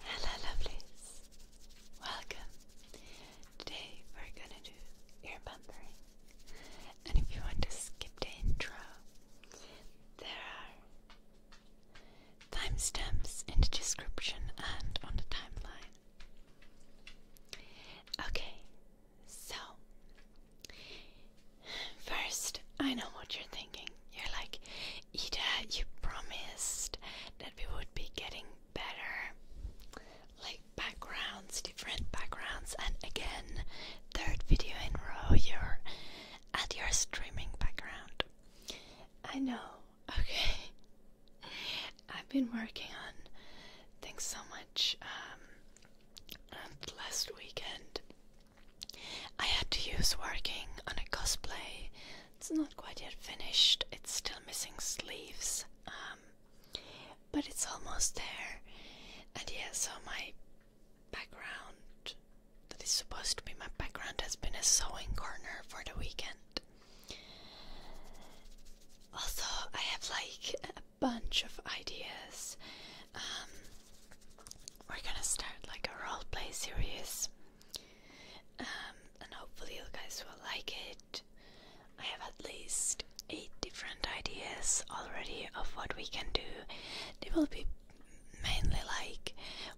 Hello lovelies, welcome. Today we're gonna do ear And if you want to skip the intro, there are timestamps in the description and on the timeline. Okay, so First, I know what you're thinking. You're like, Ida, you promised that we would be getting better. Like backgrounds, different backgrounds, and again, third video in row, you're at your streaming background. I know, okay. I've been working on things so much um, last weekend I had to use working on a cosplay. It's not quite yet finished, it's still missing sleeves, um, but it's almost there. And yes, so my background, that is supposed to be my background, has been a sewing corner for the weekend. Also, I have like a bunch of ideas. Um, we're gonna start like a roleplay series, um, and hopefully you guys will like it. I have at least eight different ideas already of what we can do. They will be mainly like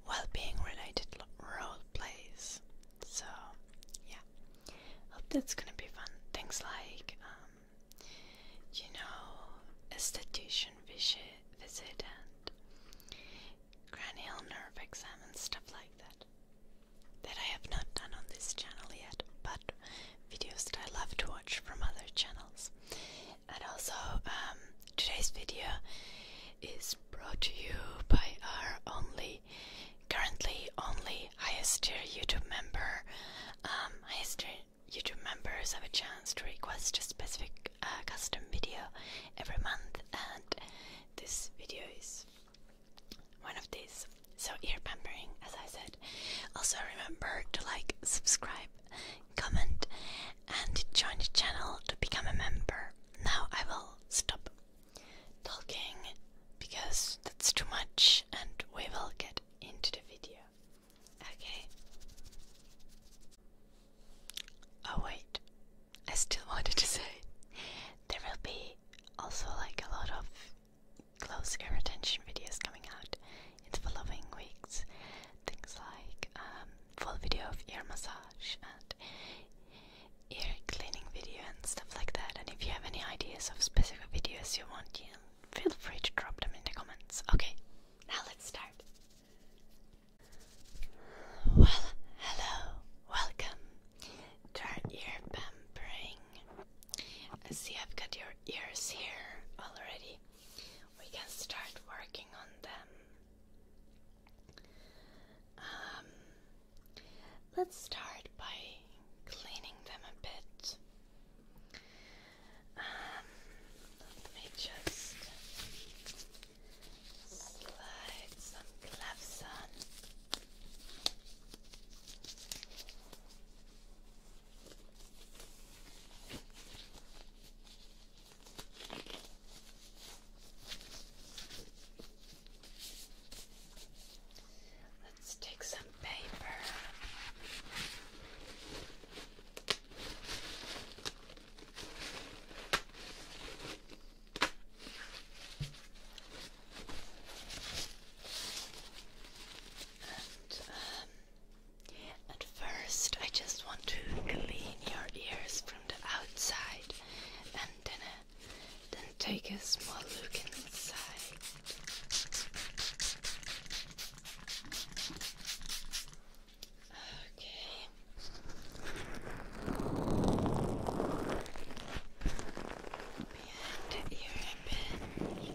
well-being related role plays. So yeah, hope that's gonna be fun. Things like um, you know, esthetician visit, visit and cranial nerve exam and stuff like that. That I have not done on this channel yet, but videos that I love to watch from other channels. And also, um, today's video is brought to you by our only, currently only highest tier YouTube member, um, highest tier YouTube members have a chance to request a specific uh, custom video every month, and this video is one of these. So, ear pampering, as I said. Also, remember to like, subscribe, comment, and join the channel to become a member. Now, I will stop talking because that's too much, and we will get into the video. Okay. Oh, wait. I still wanted to say there will be also like a lot of close ear retention videos coming out in the following weeks. Things like um, full video of ear massage and ear cleaning video and stuff like that. And if you have any ideas of specific videos you want, you feel free to drop them in the comments. Okay, now let's start. Well, hello, welcome to our ear pampering. I see I've got your ears here already. We can start working on them. Um, let's start by cleaning them a bit. Um, let me just slide some gloves on. Let's take some paper. Um, at first, I just want to clean your ears from the outside, and then, uh, then take a small look inside. Okay. Behind your armpit. Okay.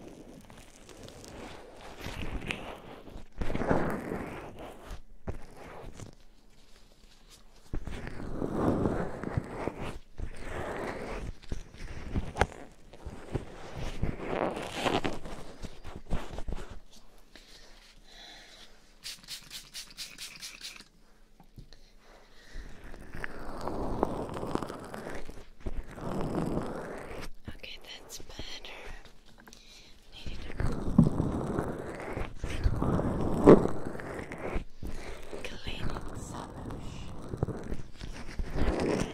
Okay, that's better. Needed a cleaning solution.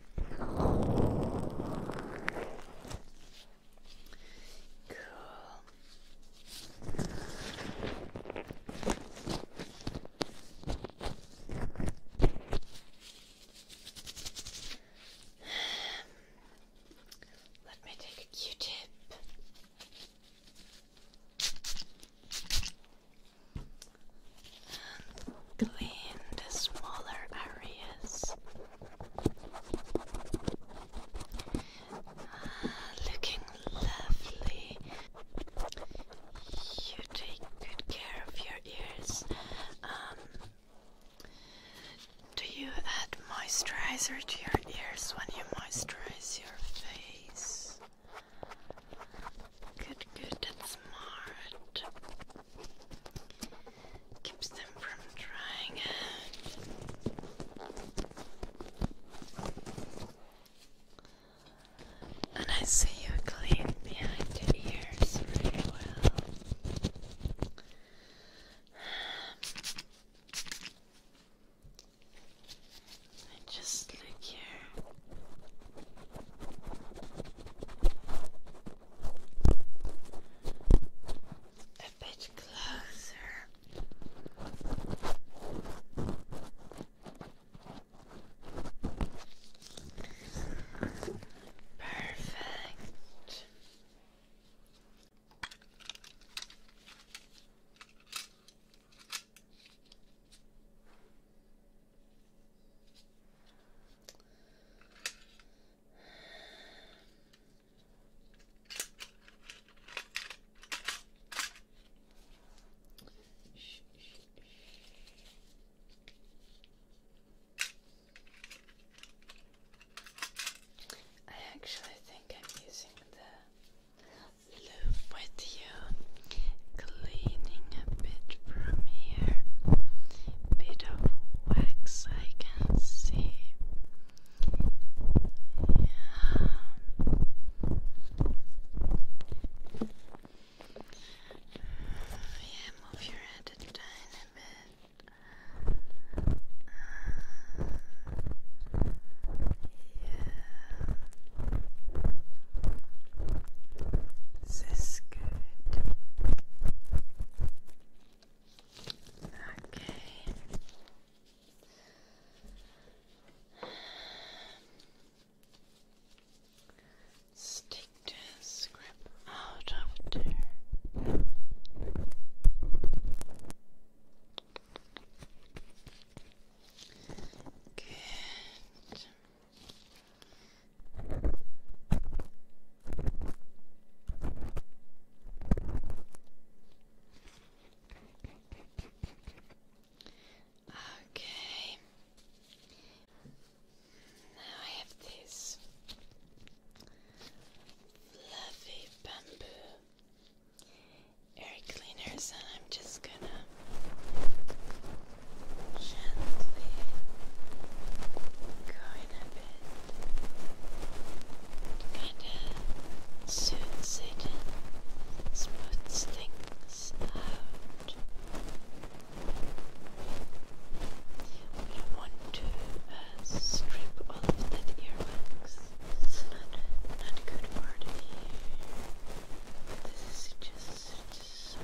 Cool. Let me take a Q-tip clean the smaller areas. Ah, looking lovely. You take good care of your ears. Um, do you add moisturizer to your ears when you moisturize your face? Good, good, that's smart. Keeps them from drying out. And I see you clean behind the ears really well. just look here. A bit closer. Perfect. I actually think I'm using the loop with you Cleaning a bit from here. Bit of wax I can see. Yeah. Yeah, move your head a tiny bit. Uh, yeah. This is good. Okay. Stick the scrap out of there. Good. Okay. Now I have this fluffy bamboo air cleaners, I'm just gonna gently go in Kinda soothes things out. We don't want to strip all of that earwax. It's not not good for the ear. This is just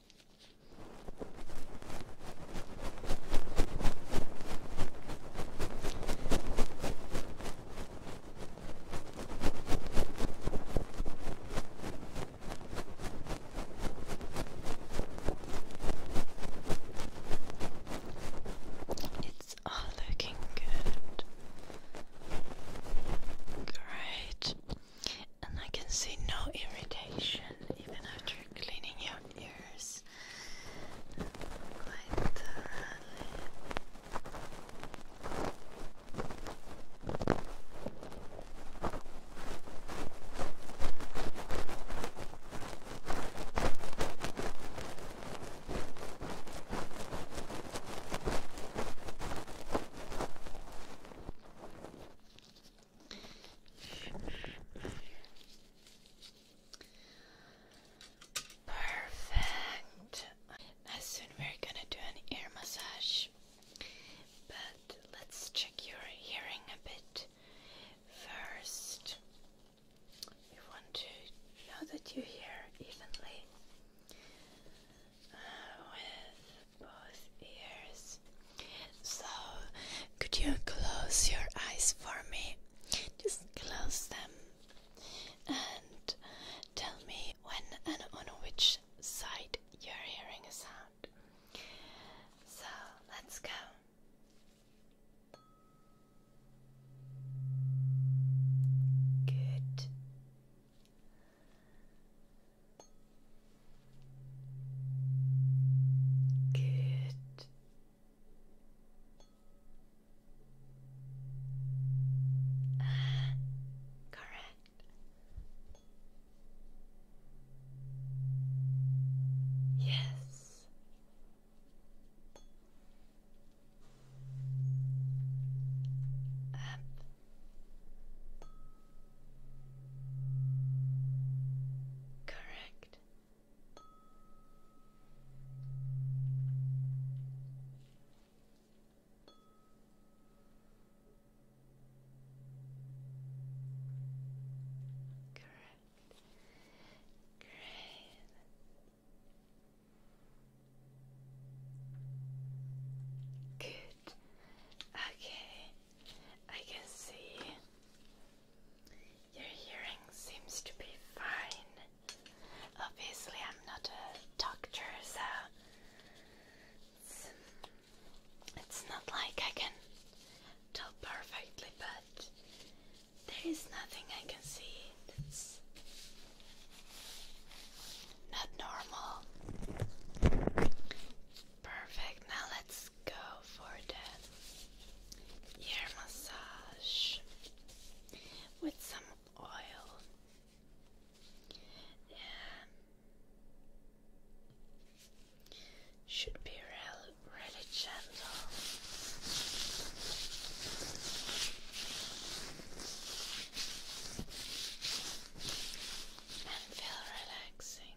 It's all looking good. Great. And I can see no irritation even after cleaning your ears quite Perfect. Now soon we're gonna do an ear massage, but let's check your hearing a bit first. We want to know that you hear evenly uh, with both ears. So, could you close your eyes for me? Just close them and tell me when and on which side you're hearing a sound. So, let's go. Good. Good. correct. Yes. Up. Correct. Correct. Great. Good. Okay. I can see your hearing seems to be fine. Obviously, I'm not a doctor, so it's, not like I can tell perfectly, but there is nothing I can see that's not normal. Perfect. Now let's go for the ear massage with some oil. Should be really, really gentle and feel relaxing.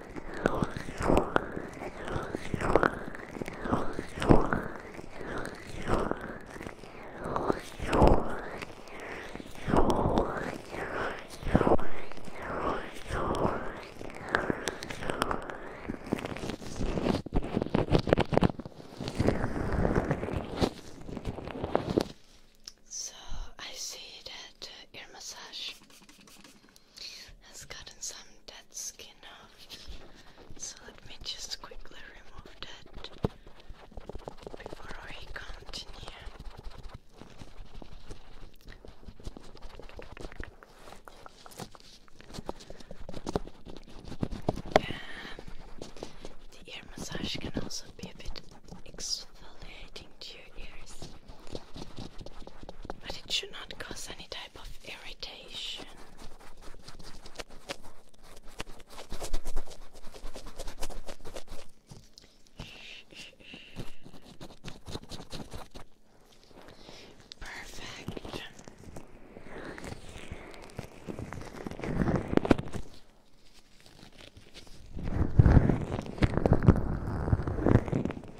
So I see that uh, ear massage has gotten some dead skin off. So let me just quickly remove that before we continue. Um, the ear massage can also be a bit exfoliating to but it should not cause any type of irritation. Perfect.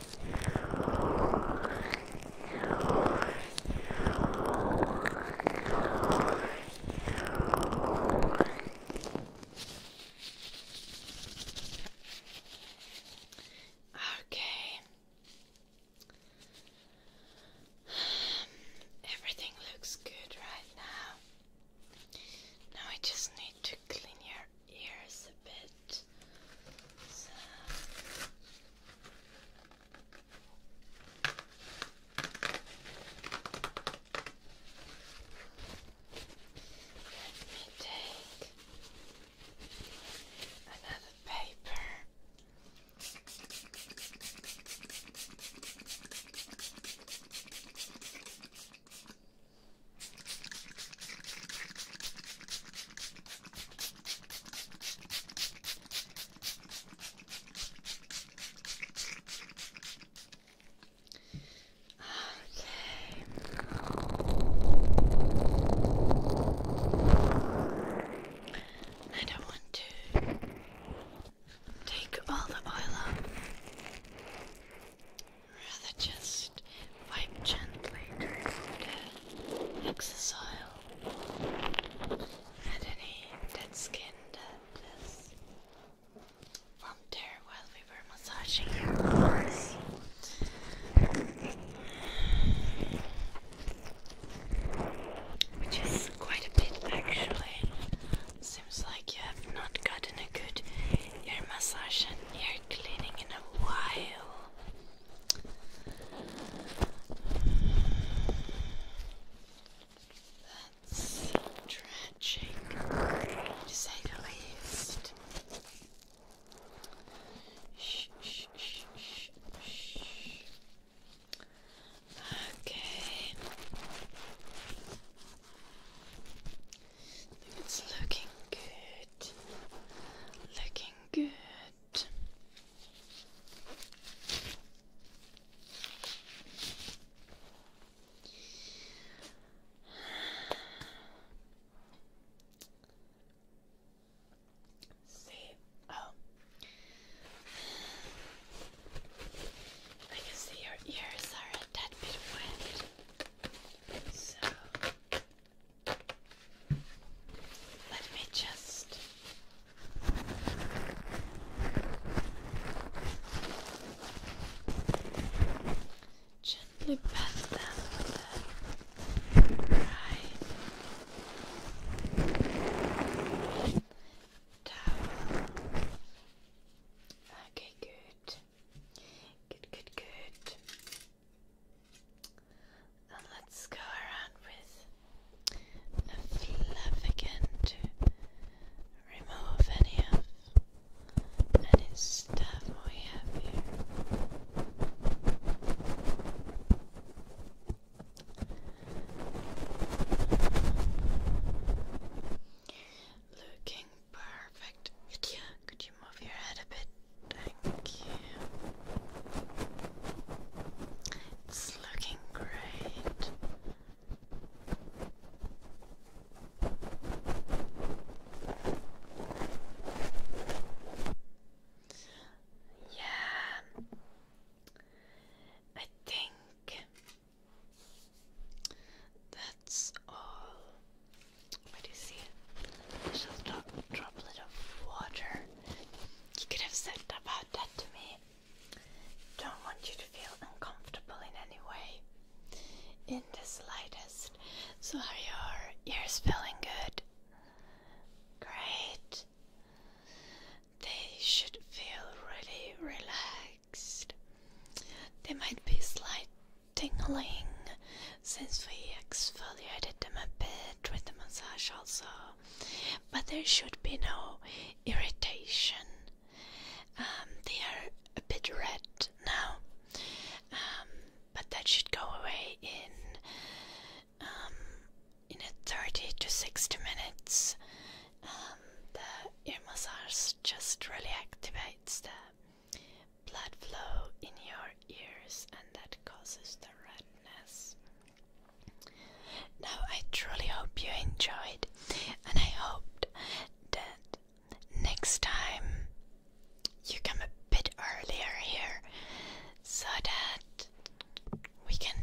Okay. Everything looks good right now. Now I just need to clean your Here's a bit. Let me take another paper. Okay. I don't want to take all the oil up rather just wipe gently to remove excess oil and any dead skin that is from there while we were massaging your arms. Which is quite a bit actually. Seems like you have not gotten a good ear massage ear cleaning in a while. That's tragic, to say the least. Shh, shh, shh, shh, shh. Okay. It's looking good. Looking good. See, oh, I can see your ears are a tad bit wet. So let me just gently pat them right towel. Okay, good. Good, good, good. let's go around with a fluff again to remove any of any stuff we have here. Looking Perfect. Could you could you move your head a bit? Thank you. It's looking great. Yeah. I think that's all. What do you see? There's a droplet of water. You could have said about that to me. Don't want you to feel uncomfortable in any way. In the slightest. So are your ears feeling good? Great. They should feel really relaxed. They might be slight tingling since we exfoliated them a bit with the massage also, but there should be no irritation. Um, they are a bit red now, um, but that should go away in um, in a 30 to 60 minutes. Um, the ear massage just really activates them blood flow in your ears and that causes the redness. Now, I truly hope you enjoyed, and I hoped that next time you come a bit earlier here so that we can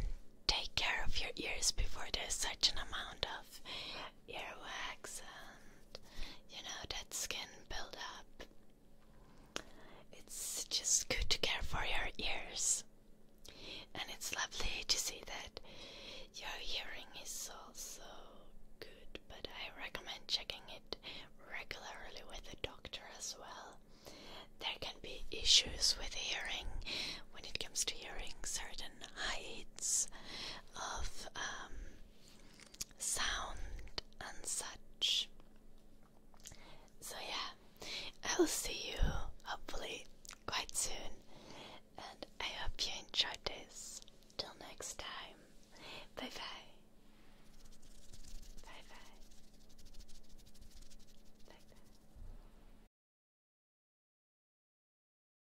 take care of your ears before there's such an amount of earwax and you know that skin buildup. It's just good to care for your ears. And it's lovely to see that your hearing is also good, but I recommend checking it regularly with a doctor as well. There can be issues with hearing when it comes to hearing certain heights of um, sound and such. So, yeah, I will see you hopefully quite soon, and I hope you enjoyed this. Till next time, bye bye. Bye bye. Bye bye.